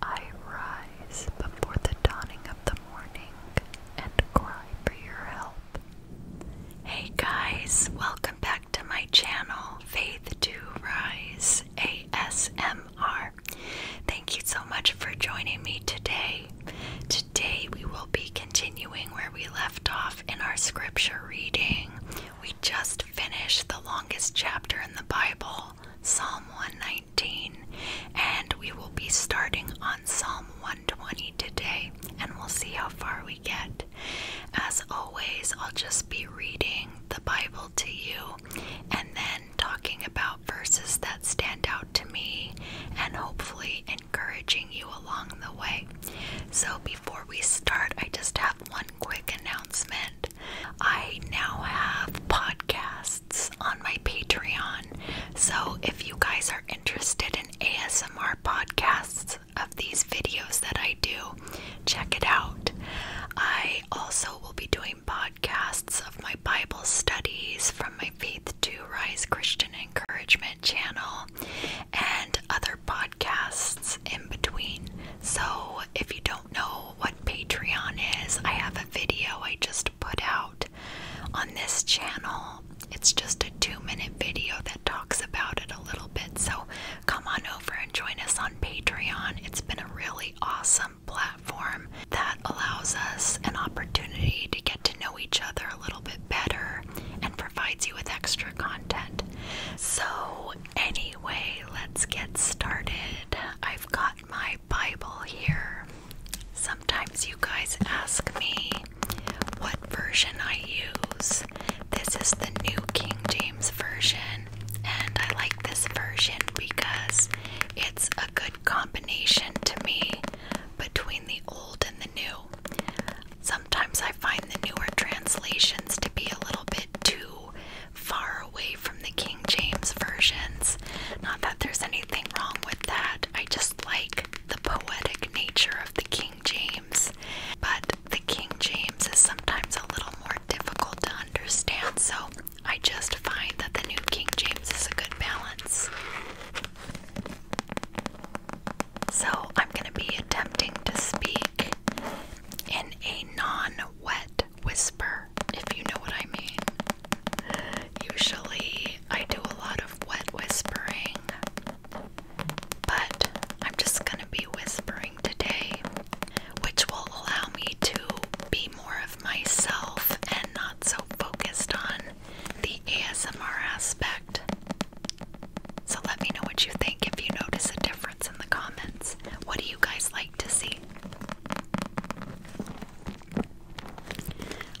I rise before the dawning of the morning and cry for your help. Hey guys, welcome back to my channel, Faith to Rise ASMR. Thank you so much for joining me today. Today we will be continuing where we left off in our scripture reading. We just finished the longest chapter in the Bible, Psalm 119 and we will be starting on Psalm 120 today, and we'll see how far we get. As always, I'll just be reading the Bible to you and then talking about verses that stand out to me and hopefully encouraging you along the way. So, before we start, I just have one quick announcement. I now have podcasts on my Patreon. So if you guys are interested in ASMR podcasts of these videos that I do, check it out. I also will be doing podcasts of my Bible studies from my Faith to Rise Christian Encouragement channel and other podcasts in between. So if you don't know what Patreon is, I have a video I just put out on this channel. It's just a two minute video that talks about it a little bit. So come on over and join us on Patreon. It's been a really awesome platform that allows us an opportunity to get to know each other a little bit better and provides you with extra content. So, anyway, let's get started. I got my Bible here. Sometimes you guys ask me what version I use. This is the New King James Version, and I like this version because it's a good combination to me between the old and the new. Sometimes I find the newer translations to be a little bit too far away from the King James versions. Not that there's anything wrong with that, I just like the poetic nature of the King James. But the King James is sometimes a little more difficult to understand, so I just find that the New King James is a good balance. So I'm going to be attempting to speak in a non wet whisper, if you know what I mean. Usually, I do a lot of wet whispering, but I'm just gonna be whispering today, which will allow me to be more of myself and not so focused on the ASMR aspect. So let me know what you think if you notice a difference in the comments. What do you guys like to see?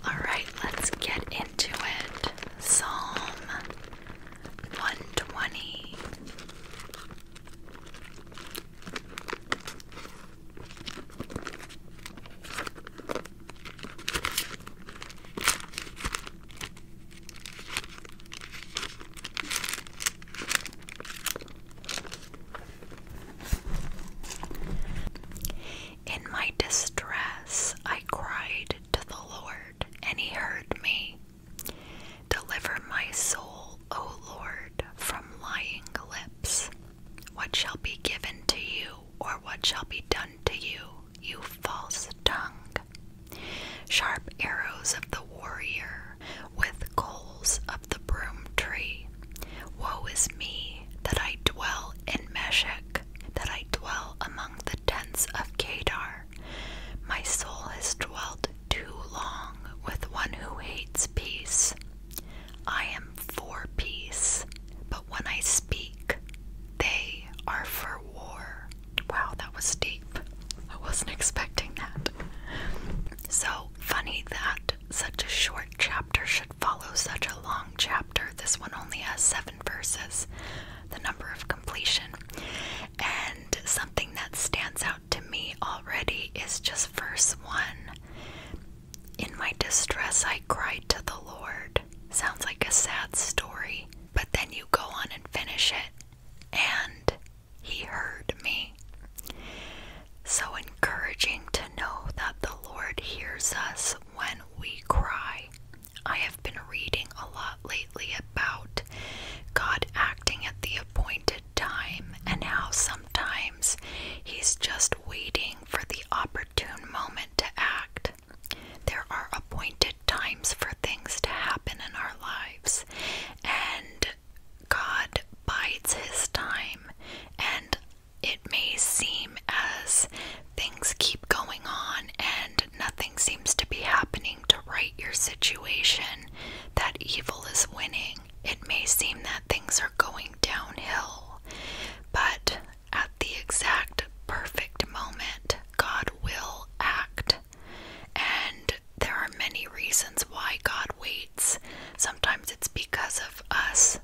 Alright, let's get into it. Psalm 120. In my distress, I cried to the Lord, and He heard me. Deliver my soul, O Lord, from lying lips. What shall be given to you, or what shall be done to you, you false tongue? sharp arrows of the warrior, with coals of the broom tree. Woe is me that I dwell in Meshech, that I dwell among the tents of Kedar. My soul has dwelt too long with one who hates peace. I am for peace, but when I speak, they are for war. Wow, that was deep. I wasn't expecting that. So funny that such a short chapter should follow such a long chapter. This one only has seven verses, the number of completion. And something that stands out to me already is just verse one. In my distress, I cried to the Lord. Sounds like a sad story, but then you go on and finish it. And he heard me. So encouraging to know that the Lord hears us when we cry. I have been reading a lot lately about God acting at the appointed time and how sometimes He's just waiting for the opportune moment to act. There are appointed times for things to happen in our lives, and God bides His time. And it may seem as things keep going on and nothing seems to be happening to right your situation, that evil is winning. It may seem that things are going downhill, but at the exact perfect moment, God will act and there are many reasons why God waits. Sometimes it's because of us,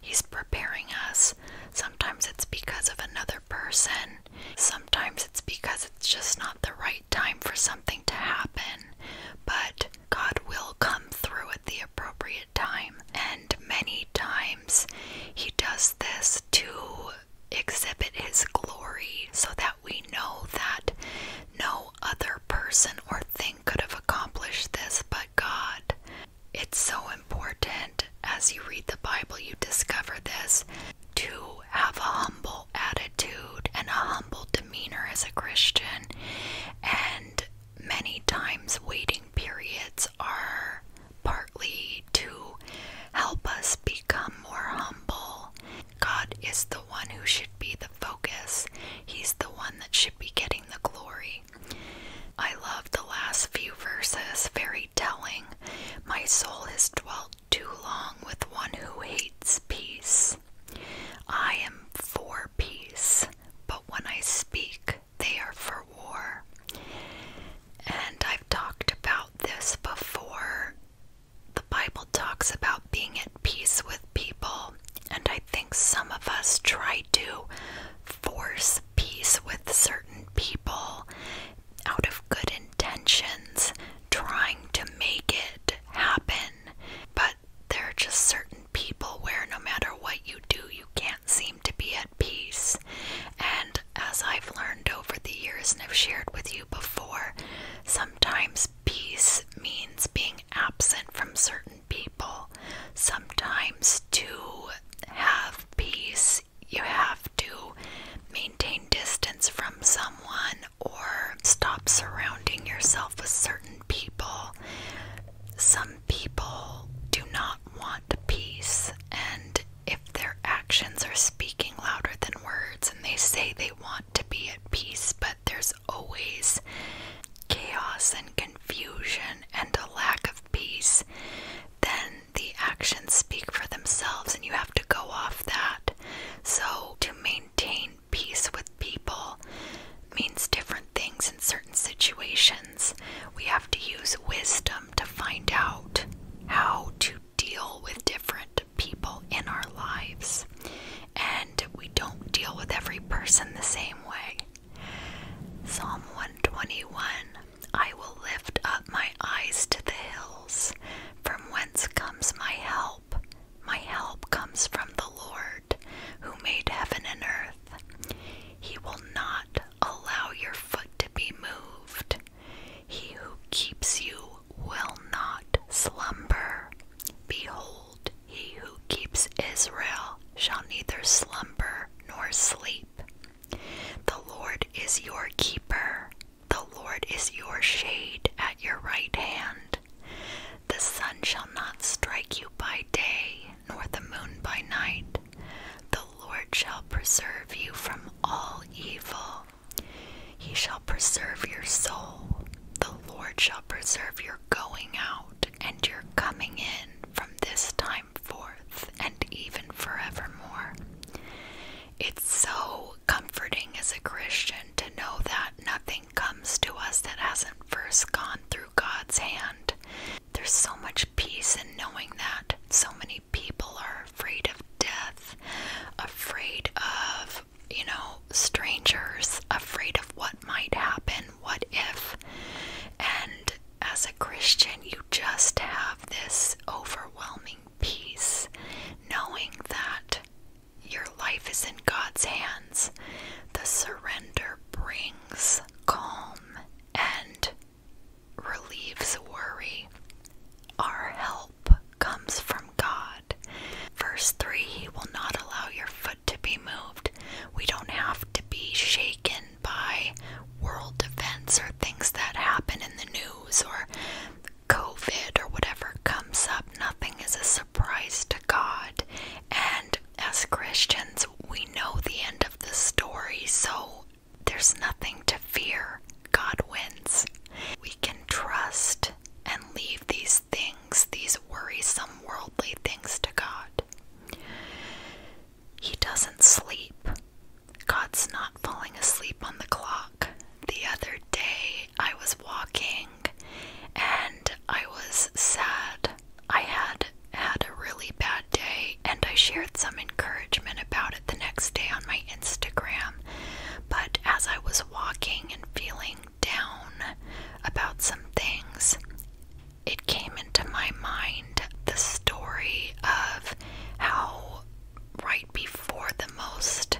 He's preparing us. Sometimes it's because of another person. Sometimes it's because it's just not the right time for something to happen. But God will come through at the appropriate time. And many times He does this to exhibit His glory so that we know that no other person or thing could have accomplished this but God. It's so important as you read the Bible, you discover this to have a humble attitude and a humble demeanor as a Christian. And many times, waiting periods are partly to help us become more humble God is the one who should be the focus. He's the one that should be getting the glory. I love the last few verses, very telling. My soul has dwelt too long with one who hates peace. I am for peace, but when I speak, they are for war. And I've talked about this before the Bible talks about being at peace with people, and I think some of us try to force peace with certain people out of good intentions, trying to make it happen. But there are just certain people where no matter what you do, you can't seem to be at peace. And as I've learned, over the years and i have shared with you before, sometimes peace means being absent from certain people. Sometimes to have peace, you have to maintain distance from someone or stop surrounding yourself with certain people. Some people do not want peace, and if their actions are speaking louder than words and they say they want to be at peace, but there's always chaos and confusion and a lack of peace, then the actions speak for themselves and you have to go off that. So, to maintain peace with people means different things in certain situations. We have to use wisdom to find out how to deal with different people in our lives, and we don't deal with every person the same way. Psalm 121 I will lift up my eyes to the hills, from whence comes my help. My help comes from the Lord, who made heaven and earth. He will not allow your foot to be moved. He who keeps you will not slumber. Behold, he who keeps Israel shall neither slumber nor sleep. The Lord is your keeper. The Lord is your shade at your right hand. The sun shall not strike you by day, nor the moon by night. The Lord shall preserve you from all evil. He shall preserve your soul. The Lord shall preserve your going out and your coming in from this time forth and even forevermore. It's so comforting as a Christian to know that nothing comes to us that hasn't first gone through God's hand. There's so much peace in knowing that. So many people are afraid of death, afraid of, you know, strangers, afraid of what might happen, what if. And as a Christian, you just have this overwhelming peace knowing that your life is in God's hands. The surrender brings calm and relieves worry. Our help comes from God. Verse 3 He will not allow your foot to be moved. We don't have to be shaken by world events or things that happen in the news or COVID or whatever comes up. Nothing is a surprise to God. And as Christians, we know the end of the story, so there's nothing to fear. God wins. We can trust and leave these things, these worrisome worldly things, to God. He doesn't sleep. God's not falling asleep on the clock. The other day, I was walking and I was sad. I had had a really bad day, and I shared some encouragement about it the next day on my Instagram. But as I was walking and feeling down about some things, it came into my mind the story of how, right before the most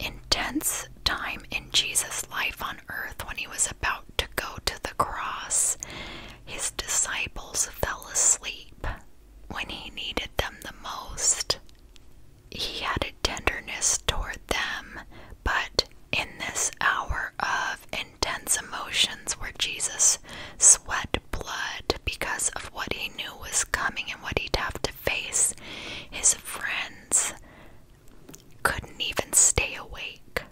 intense time in Jesus' life on earth, when he was about to go to the cross, his disciples fell asleep when he needed them the most. He had a tenderness toward them, but in this hour of intense emotions where Jesus sweat blood because of what he knew was coming and what he'd have to face, his friends couldn't even stay awake.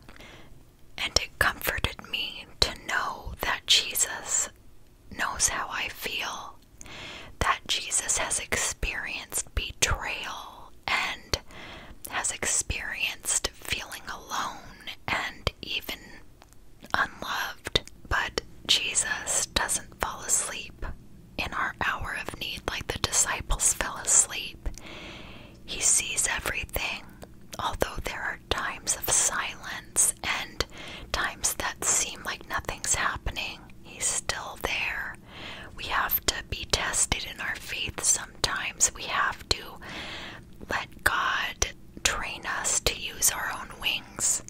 And it comforted me to know that Jesus knows how I feel, that Jesus has experienced betrayal and has experienced feeling alone and even unloved. But Jesus doesn't fall asleep in our hour of need like the disciples fell asleep. He sees everything although there are times of silence and times that seem like nothing's happening, He's still there. We have to be tested in our faith sometimes. We have to let God train us to use our own wings.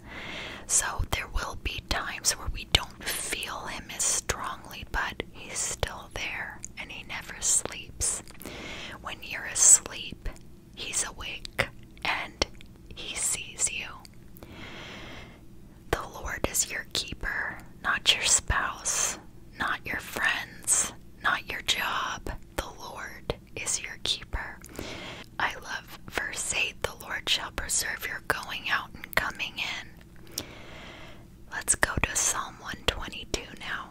So there will be times where we don't feel Him as strongly, but He's still there and He never sleeps. When you're asleep, He's awake and he sees you. The Lord is your keeper, not your spouse, not your friends, not your job. The Lord is your keeper. I love verse 8 the Lord shall preserve your going out and coming in. Let's go to Psalm 122 now.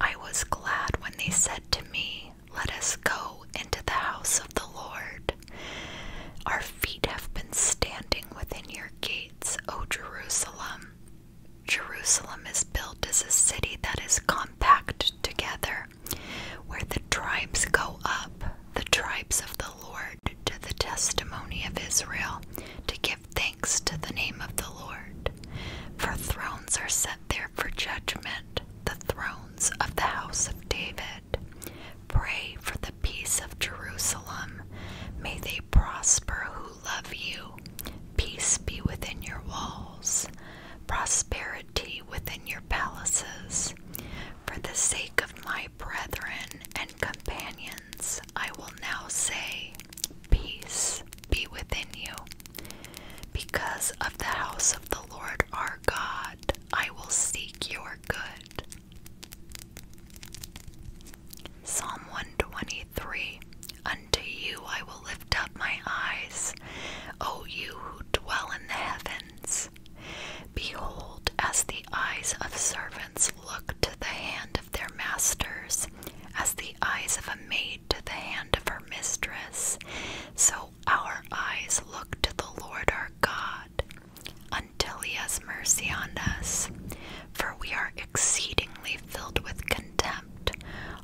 I was glad when they said to me, let us go into the house of the Lord. Our feet have been standing within your gates, O Jerusalem. Jerusalem is built as a city that is compact together, where the tribes go up, the tribes of the Lord, to the testimony of Israel, to give thanks to the name of the Lord. For thrones are set there for judgment the thrones of the house of David. Pray for the peace of Jerusalem. May they prosper who love you. Peace be within your walls, prosperity within your palaces. For the sake of my brethren and companions, I will now say, peace be within you. Because of the house of the Lord our God, I will seek your good. Psalm 123 Unto you I will lift up my eyes, O you who dwell in the heavens. Behold, as the eyes of servants look to the hand of their masters, as the eyes of a maid to the hand of her mistress. So our eyes look to the Lord our God until he has mercy on us. For we are exceedingly filled with contempt.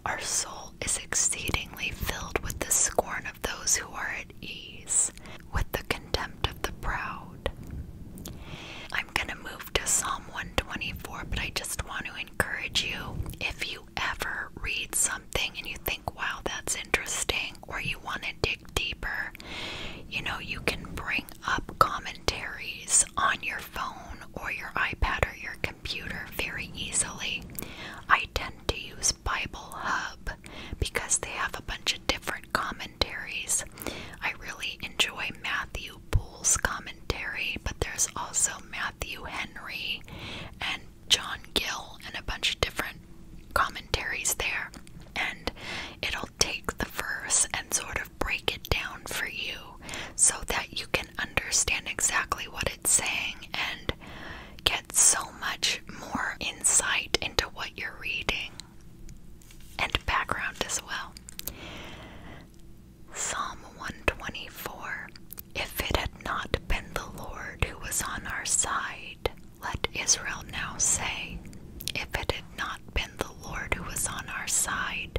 Our soul is exceedingly filled with the scorn of those who are at ease, with the contempt of the proud. I'm going to move to Psalm 124, but I just want to encourage you if you ever read something and you think, wow, that's interesting, or you want to dig deeper, you know, you can bring up commentaries on your phone or your iPad or your computer very easily. I tend to use Bible Hub because they have a bunch of different commentaries. I really enjoy Matthew, Matthew commentary, but there's also Matthew Henry and John Gill and a bunch of different commentaries there. And it'll take the verse and sort of break it down for you so that you can understand exactly what it's saying and get so much more insight into what you're reading and background as well. Psalm 124 If it had not been the Lord who was on our side, let Israel now say, If it had not been the Lord who was on our side,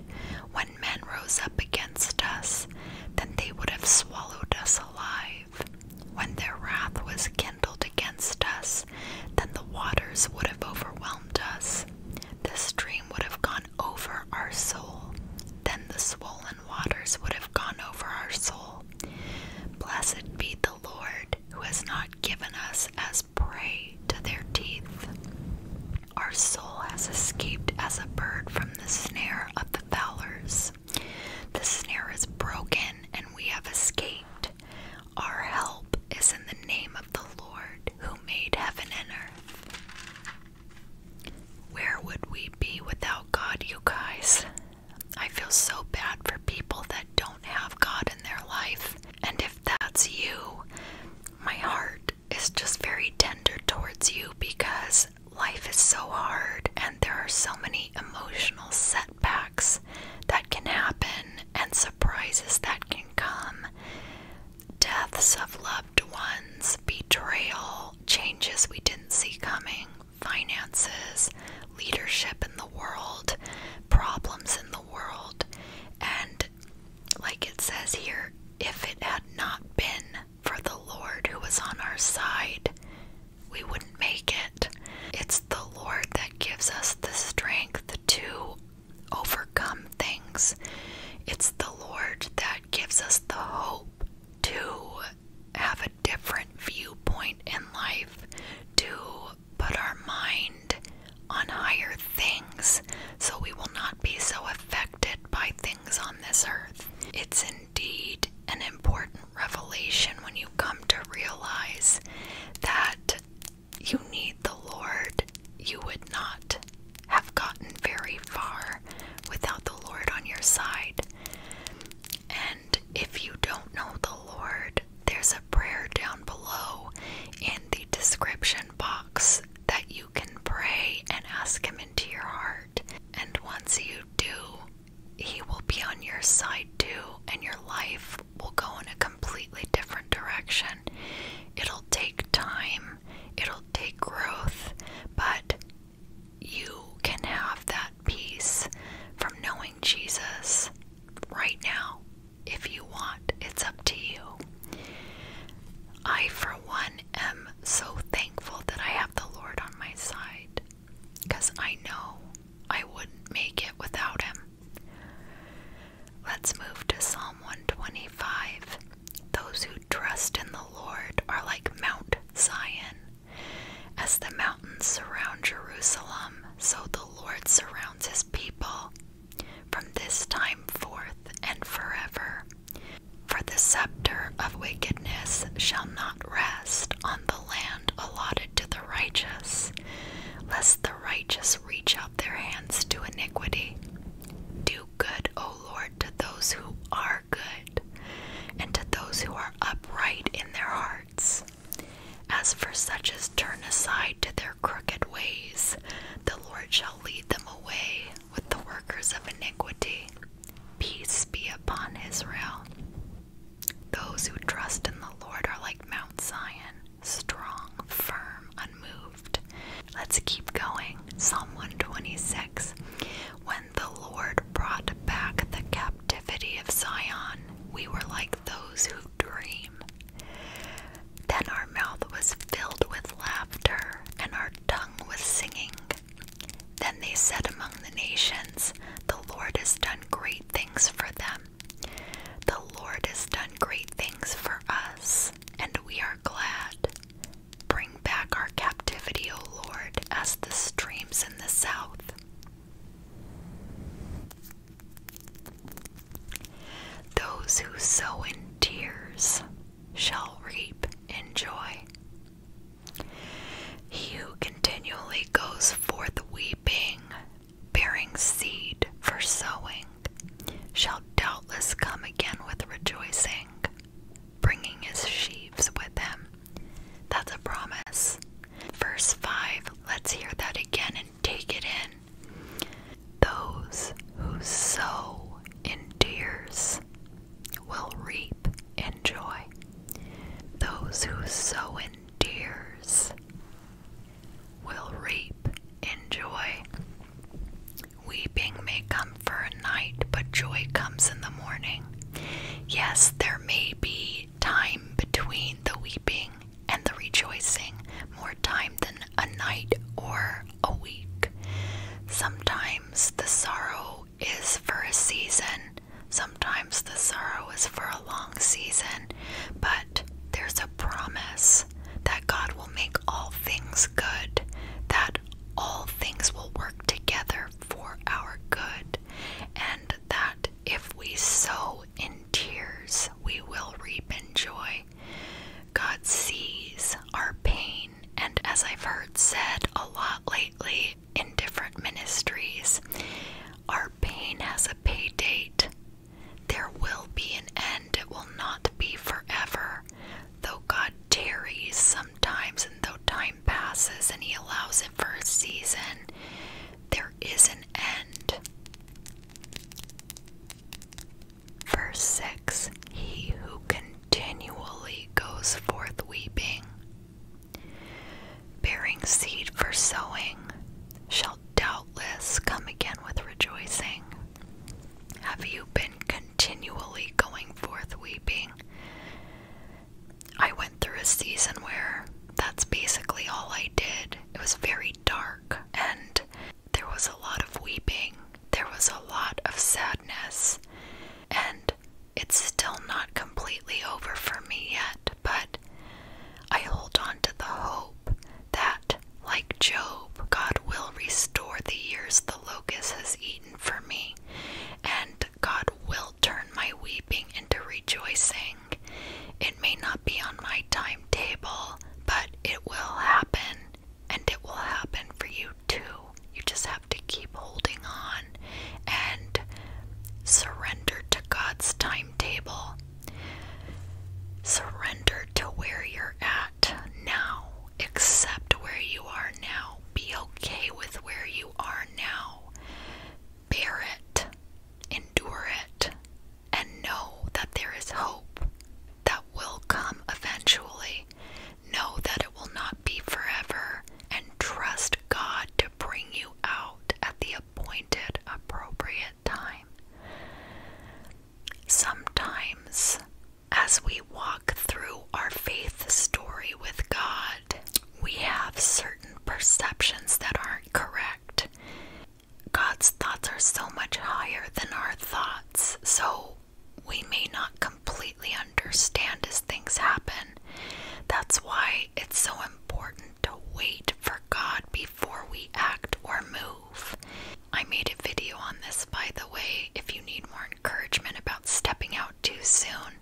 when men rose up against us, then they would have swallowed us alive. When their wrath was kindled against us, then the waters would have overwhelmed us. The stream would have gone over our soul, then the swollen waters would have gone over our soul. Blessed be the Lord who has not given us as prey to their teeth. Our soul has escaped as a bird from the snare of the fowlers. The snare is broken and we have escaped. Our help is in the name of the Lord who made heaven and earth. Where would we be without God, you guys? I feel so bad for people that don't have God in their life. And if that's you, my heart is just very tender towards you because life is so hard and there are so many emotional setbacks that can happen and surprises that can come deaths of loved ones, betrayal, changes we didn't see coming, finances, leadership in the world, problems in the world. And like it says here, if it had not been for the Lord who was on our side, we wouldn't make it. It's the Lord that gives us the strength to overcome things. It's the Lord that gives us the hope to have a different viewpoint in life, to put our mind on higher things so we will not be so affected by things on this earth. It's indeed an important revelation when you come to realize that you need the Lord. You would not have gotten very far without the Lord on your side. And if you don't know the Lord, there's a prayer down below in the description box that you can pray and ask Him into your heart. And once you do, He will be on your side too, and your life will go in a completely different direction. It'll take time It'll take growth, but you can have that peace from knowing Jesus right now if you want. It's up to you. I, for one, am so thankful that I have the Lord on my side because I know I wouldn't make it without Him. Let's move to Psalm 125. Those who trust in the Lord are like Mount Zion. As the mountains surround Jerusalem, so the Lord surrounds his people from this time forth and forever. For the scepter of wickedness shall not rest on the land allotted to the righteous, lest the righteous reach out their hands to iniquity do good, O Lord, to those who are good, and to those who are upright in their hearts. As for such as turn aside to their crooked ways, the Lord shall lead them away with the workers of iniquity. Peace be upon Israel. Those who trust in the Lord are like Mount Zion, strong, firm, unmoved. Let's keep going. Psalm 126. When the Lord brought back the captivity of Zion, we were like those who dream. Then our mouth was filled with laughter and our tongue with singing. Then they said among the nations, The Lord has done great things for them. The Lord has done great things for us and we are glad. Bring back our captivity, O Lord, as the streams in the south. Those who sow in tears shall reap in joy. He who continually goes forth weeping, bearing seed for sowing, shall doubtless come again with rejoicing, bringing his sheaves with him. That's a promise. Verse 5, let's hear that again and take it in. Those who sow in tears will reap in joy. Those who sow in tears will reap in joy. Weeping may come for a night, but joy comes in the morning. Yes, there may be time between the weeping and the rejoicing, more time than a night or a week. Sometimes the sorrow is for a season, sometimes the sorrow is for a long season, but there's a promise that God will make all things good, that all things will work together for our good, and that if we sow in tears, we will reap in joy. God sees our pain, and as I've heard said a lot lately in different ministries, our pain has a pay date. There will be an end, it will not be forever. Though God tarries sometimes, and though time passes and He allows it for a season, there is an end. Verse 6 He who continually goes forth weeping, bearing seed for sowing, shall doubtless come again with rejoicing. Have you been continually going forth weeping? I went through a season where that's basically all I did. It was very dark, and there was a lot of weeping, there was a lot of sadness, and it's still not completely over for me yet, but I hold on to the hope that like Job, God will restore the years the locust has eaten for me, and God will turn my weeping into rejoicing. It may not be on my timetable, but it will happen, and it will happen for you too. You just have to keep holding on and surrender to God's timetable Surrender to where you're at now. Accept where you are now. Be okay with where you are now. Bear it, endure it, and know that there is hope that will come eventually. Know that it will not be forever, and trust God to bring you out at the appointed, appropriate time. Sometimes, as we walk through our faith story with God, we have certain perceptions that aren't correct. God's thoughts are so much higher than our thoughts, so we may not completely understand as things happen. That's why it's so important to wait for God before we act or move. I made a video on this, by the way, if you need more encouragement about stepping out too soon,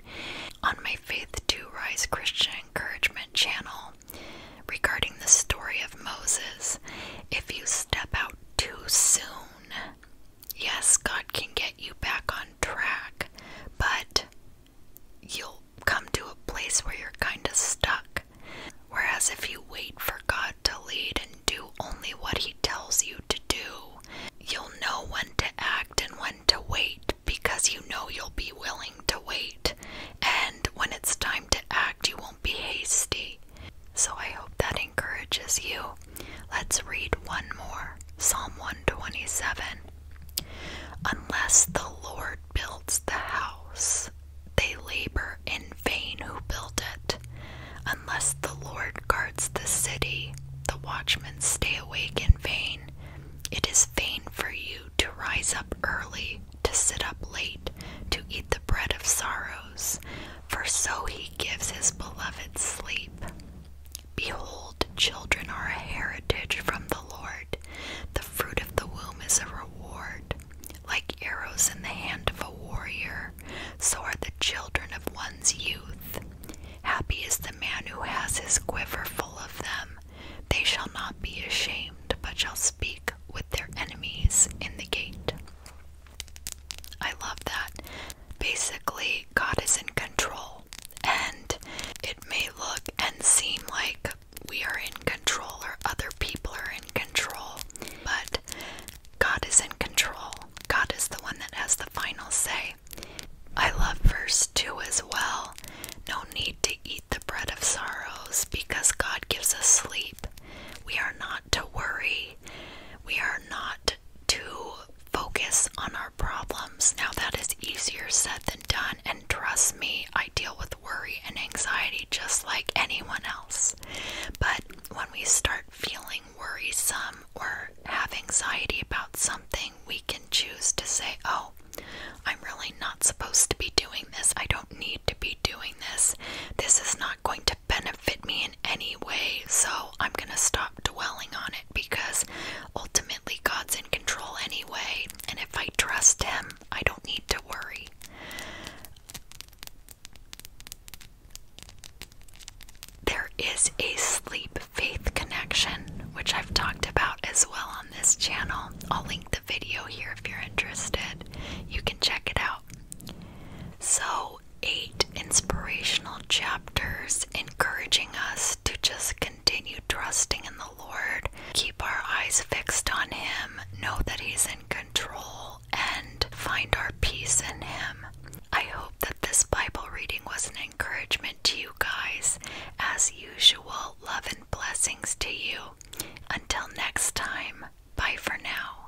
on my Faith to Rise Christian Encouragement channel regarding the story of Moses. If you step out too soon, yes, God can get you back on track, but you'll come to a place where you're kind of stuck. Whereas if you wait for God to lead and do only what He tells you to do, you'll know when to act and when to wait because you know you'll be willing to wait. And when it's time to act, you won't be hasty. So I hope that encourages you. Let's read one more Psalm 127. Unless the Lord builds the house, they labor in vain who build it. Unless the Lord guards the city, the watchmen stay awake in vain. It is vain for you to rise up early, to sit up late, to eat the bread of sorrows, for so he gives his beloved sleep. Behold, children are a heritage from the Lord. The fruit of the womb is a reward. Like arrows in the hand of a warrior, so are the children of one's youth. Happy is the man who has his quiver full of them. They shall not be ashamed, but shall speak with their enemies in the gate. I love that. Basically, God is in control, and it may look and seem like we are in control or other people are in control, but God is in control. God is the one that has the final say. I love verse 2 as well. No need to eat the bread of sorrows because God gives us sleep. We are not to worry. We are not to focus on our problems. Now, that is easier said than done, and trust me, I deal with worry and anxiety just like anyone else. But when we start feeling worrisome or have anxiety about something, we can choose to say, Oh, I'm really not supposed to be doing this. I don't need to be doing this. This is not going to benefit me in any way. So I'm going to stop dwelling on it because ultimately God's in control anyway. And if I trust Him, I don't need to worry. There is a sleep faith connection, which I've talked about as well on this channel. I'll link the video here if you're interested. You can check it out. So, eight inspirational chapters encouraging us to just continue trusting in the. Lord, keep our eyes fixed on Him, know that He's in control, and find our peace in Him. I hope that this Bible reading was an encouragement to you guys. As usual, love and blessings to you. Until next time, bye for now.